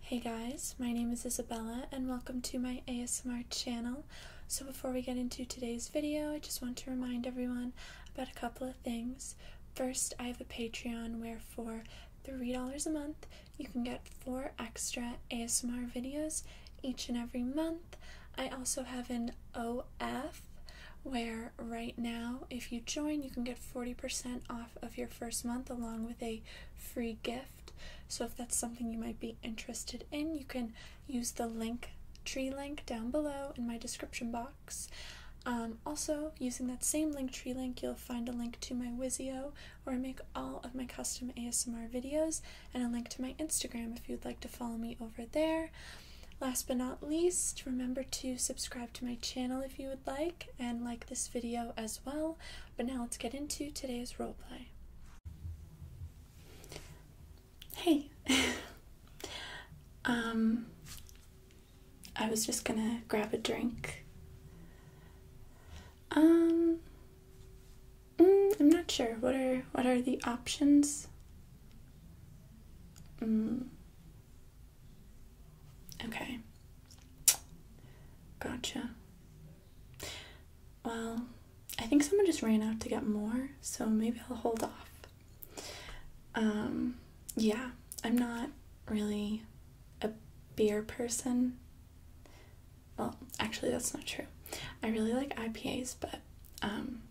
Hey guys, my name is Isabella and welcome to my ASMR channel. So before we get into today's video, I just want to remind everyone about a couple of things. First, I have a Patreon where for $3 a month, you can get four extra ASMR videos each and every month. I also have an OF where right now, if you join, you can get 40% off of your first month along with a free gift. So, if that's something you might be interested in, you can use the link tree link down below in my description box. Um, also, using that same link tree link, you'll find a link to my Wizio where I make all of my custom ASMR videos and a link to my Instagram if you'd like to follow me over there. Last but not least, remember to subscribe to my channel if you would like and like this video as well. But now let's get into today's roleplay. Hey. um I was just going to grab a drink. Um mm, I'm not sure what are what are the options? Mm, Okay. Gotcha. Well, I think someone just ran out to get more, so maybe I'll hold off. Um, yeah, I'm not really a beer person. Well, actually, that's not true. I really like IPAs, but um,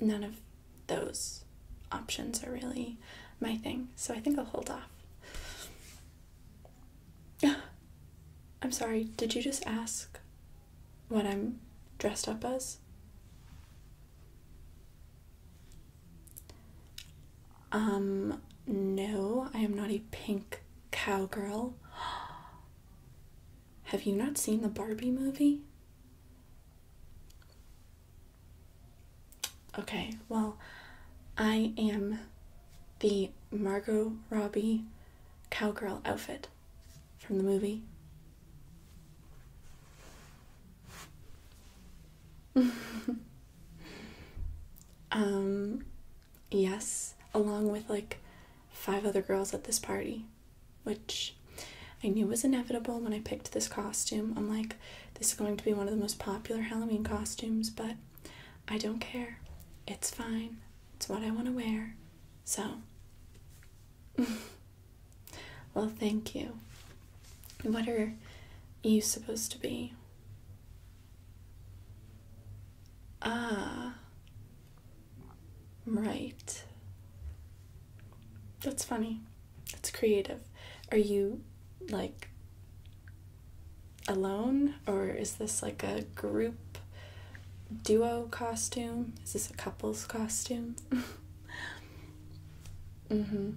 none of those options are really my thing, so I think I'll hold off. I'm sorry, did you just ask what I'm dressed up as? Um, no, I am not a pink cowgirl. Have you not seen the Barbie movie? Okay, well, I am the Margot Robbie cowgirl outfit from the movie. um, yes, along with like five other girls at this party, which I knew was inevitable when I picked this costume. I'm like, this is going to be one of the most popular Halloween costumes, but I don't care. It's fine. It's what I want to wear. So, well, thank you. What are you supposed to be? Ah, right. That's funny. It's creative. Are you like alone or is this like a group duo costume? Is this a couple's costume? mhm.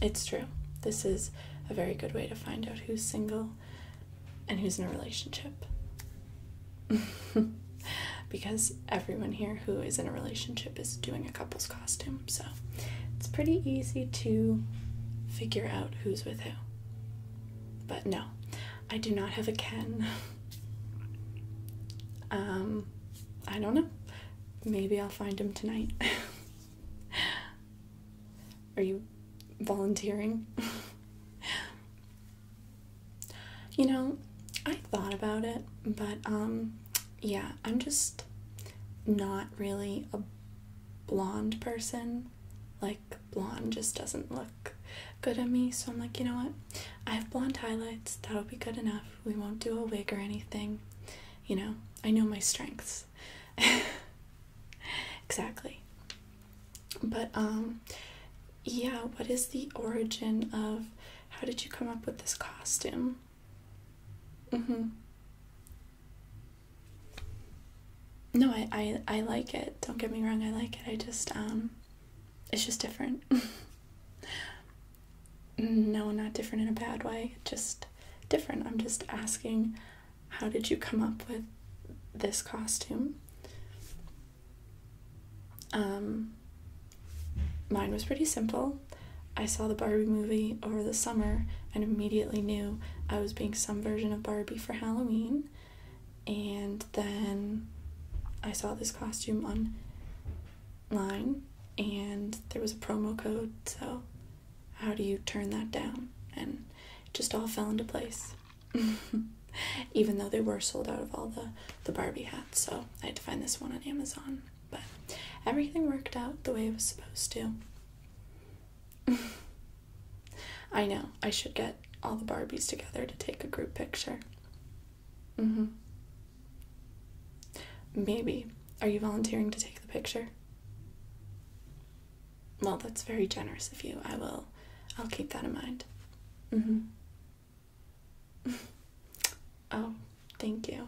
It's true. This is a very good way to find out who's single and who's in a relationship. because everyone here who is in a relationship is doing a couple's costume, so it's pretty easy to figure out who's with who. But no, I do not have a Ken. um, I don't know. Maybe I'll find him tonight. Are you volunteering? you know, I thought about it, but um yeah, I'm just not really a blonde person. Like, blonde just doesn't look good on me. So I'm like, you know what? I have blonde highlights. That'll be good enough. We won't do a wig or anything. You know, I know my strengths. exactly. But, um, yeah, what is the origin of how did you come up with this costume? Mm-hmm. No, I, I, I like it. Don't get me wrong, I like it. I just, um, it's just different. no, not different in a bad way, just different. I'm just asking, how did you come up with this costume? Um, Mine was pretty simple. I saw the Barbie movie over the summer and immediately knew I was being some version of Barbie for Halloween. And then I saw this costume online and there was a promo code, so how do you turn that down? And just all fell into place. Even though they were sold out of all the, the Barbie hats, so I had to find this one on Amazon. But everything worked out the way it was supposed to. I know, I should get all the Barbies together to take a group picture. Mm hmm. Maybe. Are you volunteering to take the picture? Well, that's very generous of you. I will. I'll keep that in mind. Mm hmm. oh, thank you.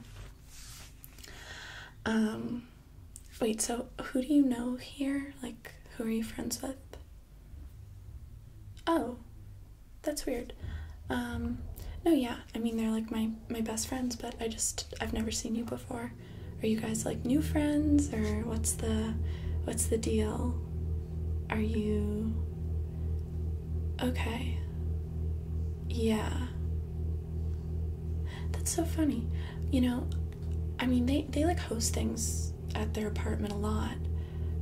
Um, wait, so who do you know here? Like, who are you friends with? Oh, that's weird. Um, no, yeah, I mean, they're like my, my best friends, but I just, I've never seen you before. Are you guys like new friends or what's the, what's the deal? Are you Okay. Yeah. That's so funny. You know, I mean, they, they like host things at their apartment a lot,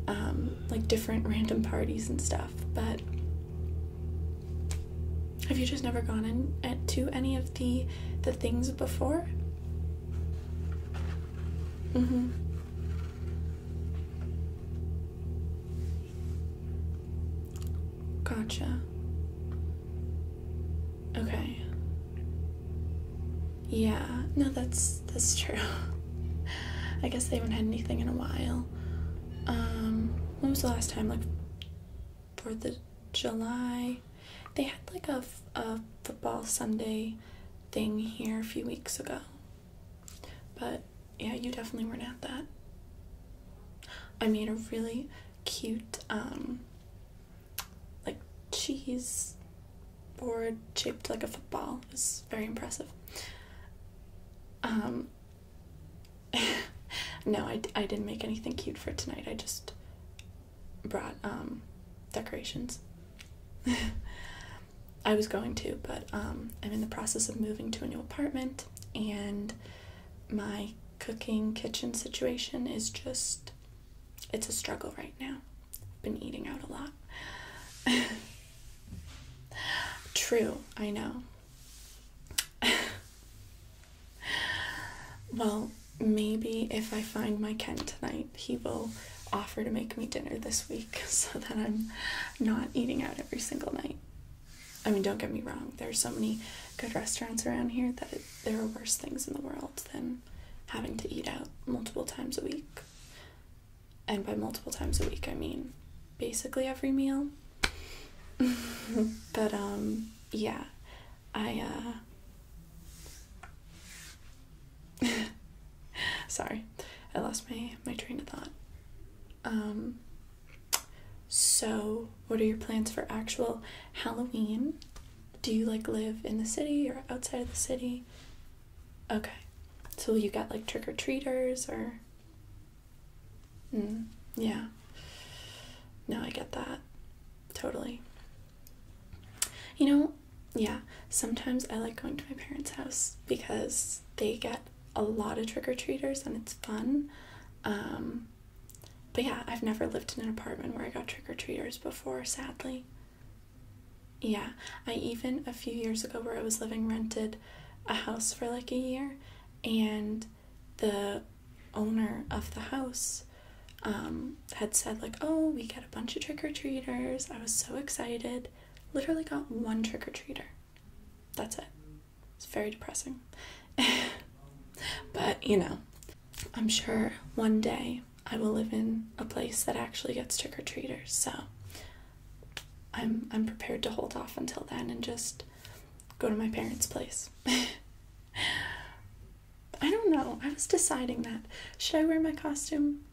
um, like different random parties and stuff, but have you just never gone in to any of the the things before? Mm-hmm. Gotcha. Okay. Yeah, no, that's that's true. I guess they haven't had anything in a while. Um, when was the last time? Like for the July. They had like a, a football Sunday thing here a few weeks ago, but yeah, you definitely weren't at that. I made a really cute, um, like cheese board shaped like a football. It's very impressive. Um, no, I, I didn't make anything cute for tonight. I just brought, um, decorations. I was going to, but um, I'm in the process of moving to a new apartment, and my cooking kitchen situation is just it's a struggle right now. I've been eating out a lot. True, I know. well, maybe if I find my Ken tonight, he will offer to make me dinner this week so that I'm not eating out every single night. I mean, don't get me wrong, there's so many good restaurants around here that there are worse things in the world than having to eat out multiple times a week. And by multiple times a week, I mean basically every meal. but um yeah, I uh Sorry. I lost my my train of thought. Um, so, what are your plans for actual Halloween? Do you like live in the city or outside of the city? Okay. So, you got like trick or treaters or. Mm, yeah. No, I get that. Totally. You know, yeah, sometimes I like going to my parents' house because they get a lot of trick or treaters and it's fun. Um, but yeah, I've never lived in an apartment where I got trick or treaters before, sadly. Yeah, I even a few years ago where I was living rented a house for like a year and the owner of the house um, had said like, "Oh, we get a bunch of trick or treaters." I was so excited. Literally got one trick or treater. That's it. It's very depressing. but, you know, I'm sure one day I will live in a place that actually gets trick or treaters. So I'm I'm prepared to hold off until then and just go to my parents' place. I don't know. I was deciding that. Should I wear my costume?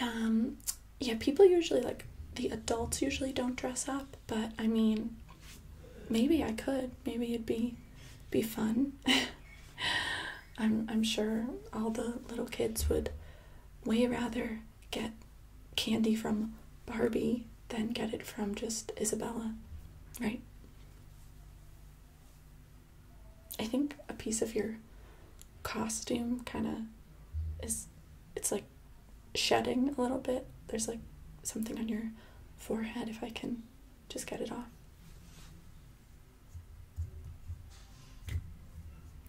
Um, yeah, people usually like the adults usually don't dress up, but I mean, maybe I could. Maybe it'd be be fun. I'm I'm sure all the little kids would way rather get candy from Barbie than get it from just Isabella, right? I think a piece of your costume kind of is it's like shedding a little bit. There's like something on your forehead if I can just get it off.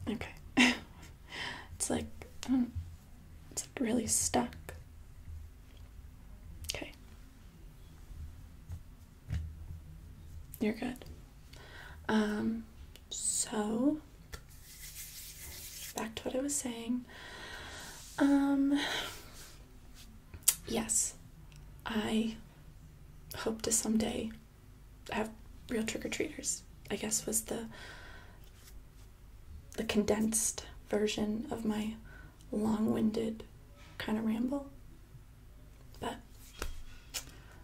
Okay. it's like um, it's like really stuck. Okay. You're good. Um so, back to what I was saying. Um, yes, I hope to someday have real trick or treaters. I guess was the the condensed version of my long-winded kind of ramble. But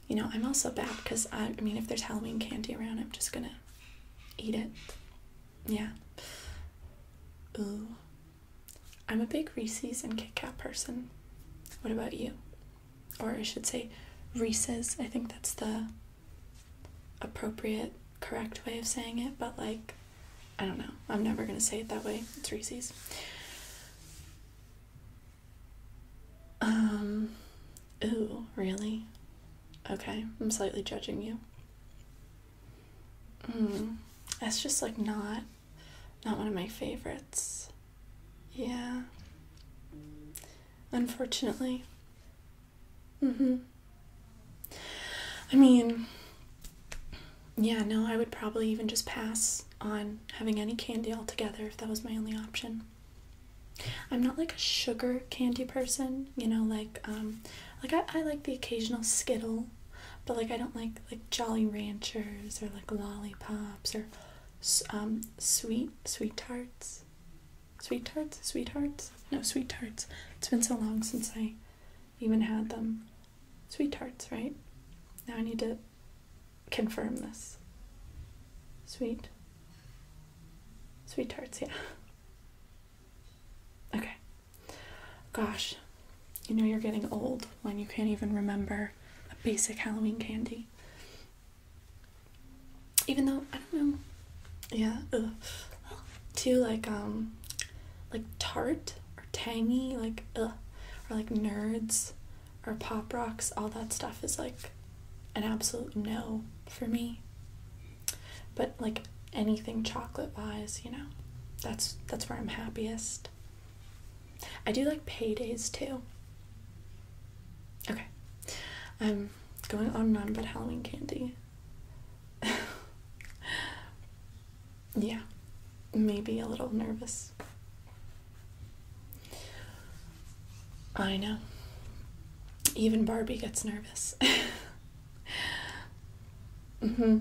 you know, I'm also bad because I, mean, if there's Halloween candy around, I'm just gonna eat it. Yeah. Ooh. I'm a big Reese's and Kit Kat person. What about you? Or I should say, Reese's. I think that's the appropriate, correct way of saying it, but like, I don't know. I'm never gonna say it that way. It's Reese's. Um, ooh, really? Okay, I'm slightly judging you. Mm, that's just like not, not one of my favorites. Yeah. Unfortunately. Mm-hmm. I mean, yeah, no, I would probably even just pass on having any candy altogether if that was my only option. I'm not like a sugar candy person, you know, like um like I, like the occasional skittle, but like I don't like like Jolly Ranchers or like lollipops or um sweet sweet tarts. Sweet tarts, sweethearts? No, sweet tarts. It's been so long since I even had them. Sweet tarts, right? Now I need to confirm this. Sweet. Sweet tarts, yeah. Okay. Gosh, you know you're getting old when you can't even remember a basic Halloween candy. Even though, I don't know. Yeah, ugh. Too like, um, like tart or tangy, like, ugh. Or like nerds or pop rocks, all that stuff is like an absolute no for me. But like anything chocolate wise, you know, that's that's where I'm happiest. I do like paydays too. Okay. I'm going on and on about Halloween candy. yeah. Maybe a little nervous. I know. Even Barbie gets nervous. mm-hmm.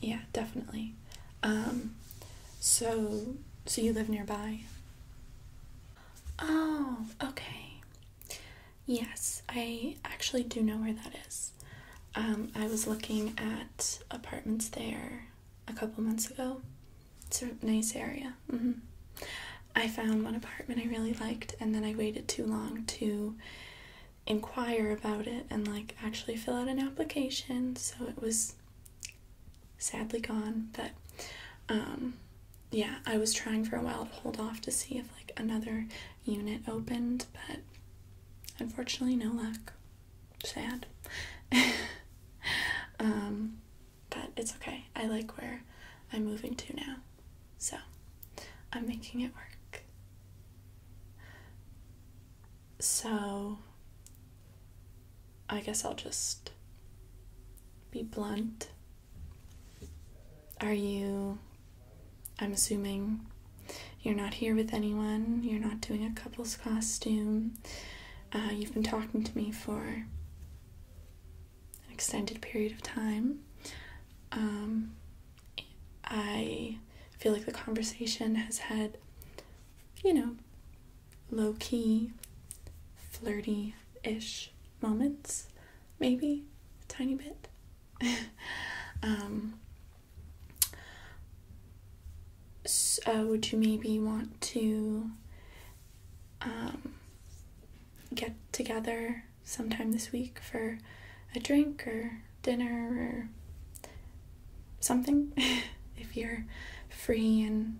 Yeah, definitely. Um, so, so you live nearby? Oh, okay. Yes, I actually do know where that is. Um, I was looking at apartments there a couple months ago. It's a nice area. Mm-hmm. I found one apartment I really liked, and then I waited too long to inquire about it and like actually fill out an application. So it was sadly gone. But um, yeah, I was trying for a while to hold off to see if like another unit opened, but unfortunately, no luck sad. Um, but it's okay. I like where I'm moving to now. So I'm making it work. So I guess I'll just be blunt. Are you, I'm assuming you're not here with anyone, you're not doing a couple's costume, uh, you've been talking to me for an extended period of time. Um, I feel like the conversation has had, you know, low key, flirty ish moments, maybe a tiny bit. Um, so uh, would you maybe want to um, get together sometime this week for a drink or dinner or something if you're free and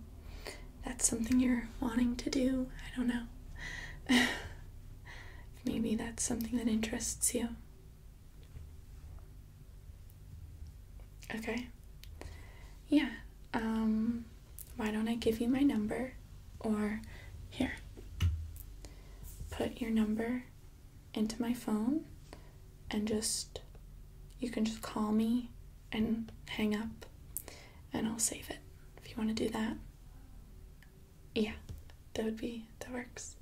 that's something you're wanting to do i don't know maybe that's something that interests you Okay. Yeah. Um, why don't I give you my number? Or here. Put your number into my phone and just, you can just call me and hang up and I'll save it if you want to do that. Yeah, that would be, that works.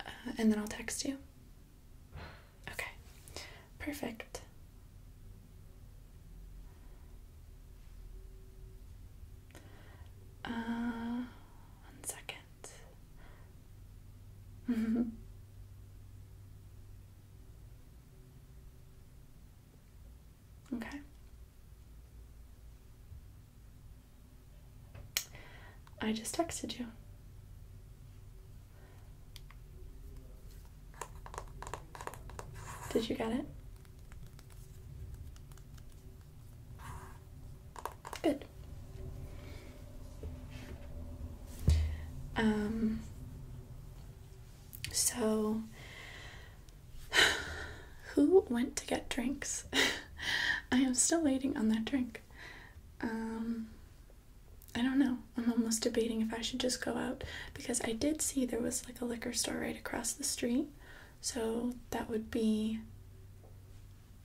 Uh, and then I'll text you. Okay, perfect. Uh, one second. okay. I just texted you. Did you get it? Good. Um, so, who went to get drinks? I am still waiting on that drink. Um, I don't know. I'm almost debating if I should just go out because I did see there was like a liquor store right across the street, so that would be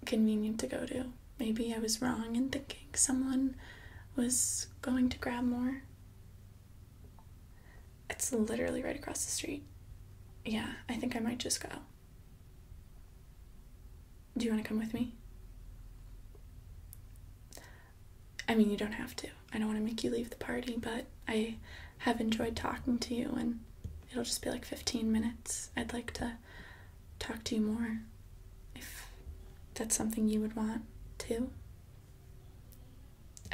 convenient to go to. Maybe I was wrong in thinking someone was going to grab more. It's literally right across the street. Yeah, I think I might just go. Do you want to come with me? I mean, you don't have to. I don't want to make you leave the party, but I have enjoyed talking to you, and it'll just be like 15 minutes. I'd like to talk to you more if that's something you would want to.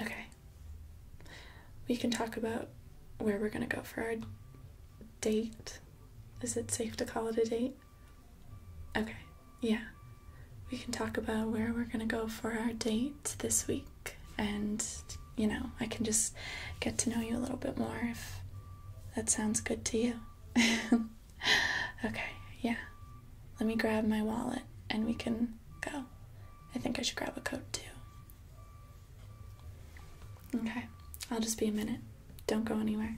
Okay. We can talk about where we're going to go for our date? Is it safe to call it a date? Okay, yeah. We can talk about where we're gonna go for our date this week, and you know, I can just get to know you a little bit more if that sounds good to you. okay, yeah. Let me grab my wallet and we can go. I think I should grab a coat too. Okay, I'll just be a minute. Don't go anywhere.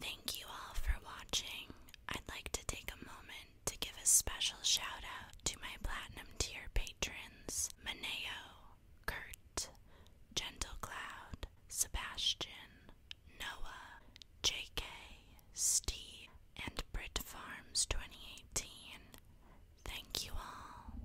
Thank you all for watching. I'd like to take a moment to give a special shout out to my platinum tier patrons Maneo, Kurt, Gentle Cloud, Sebastian, Noah, JK, Steve, and Brit Farms 2018. Thank you all.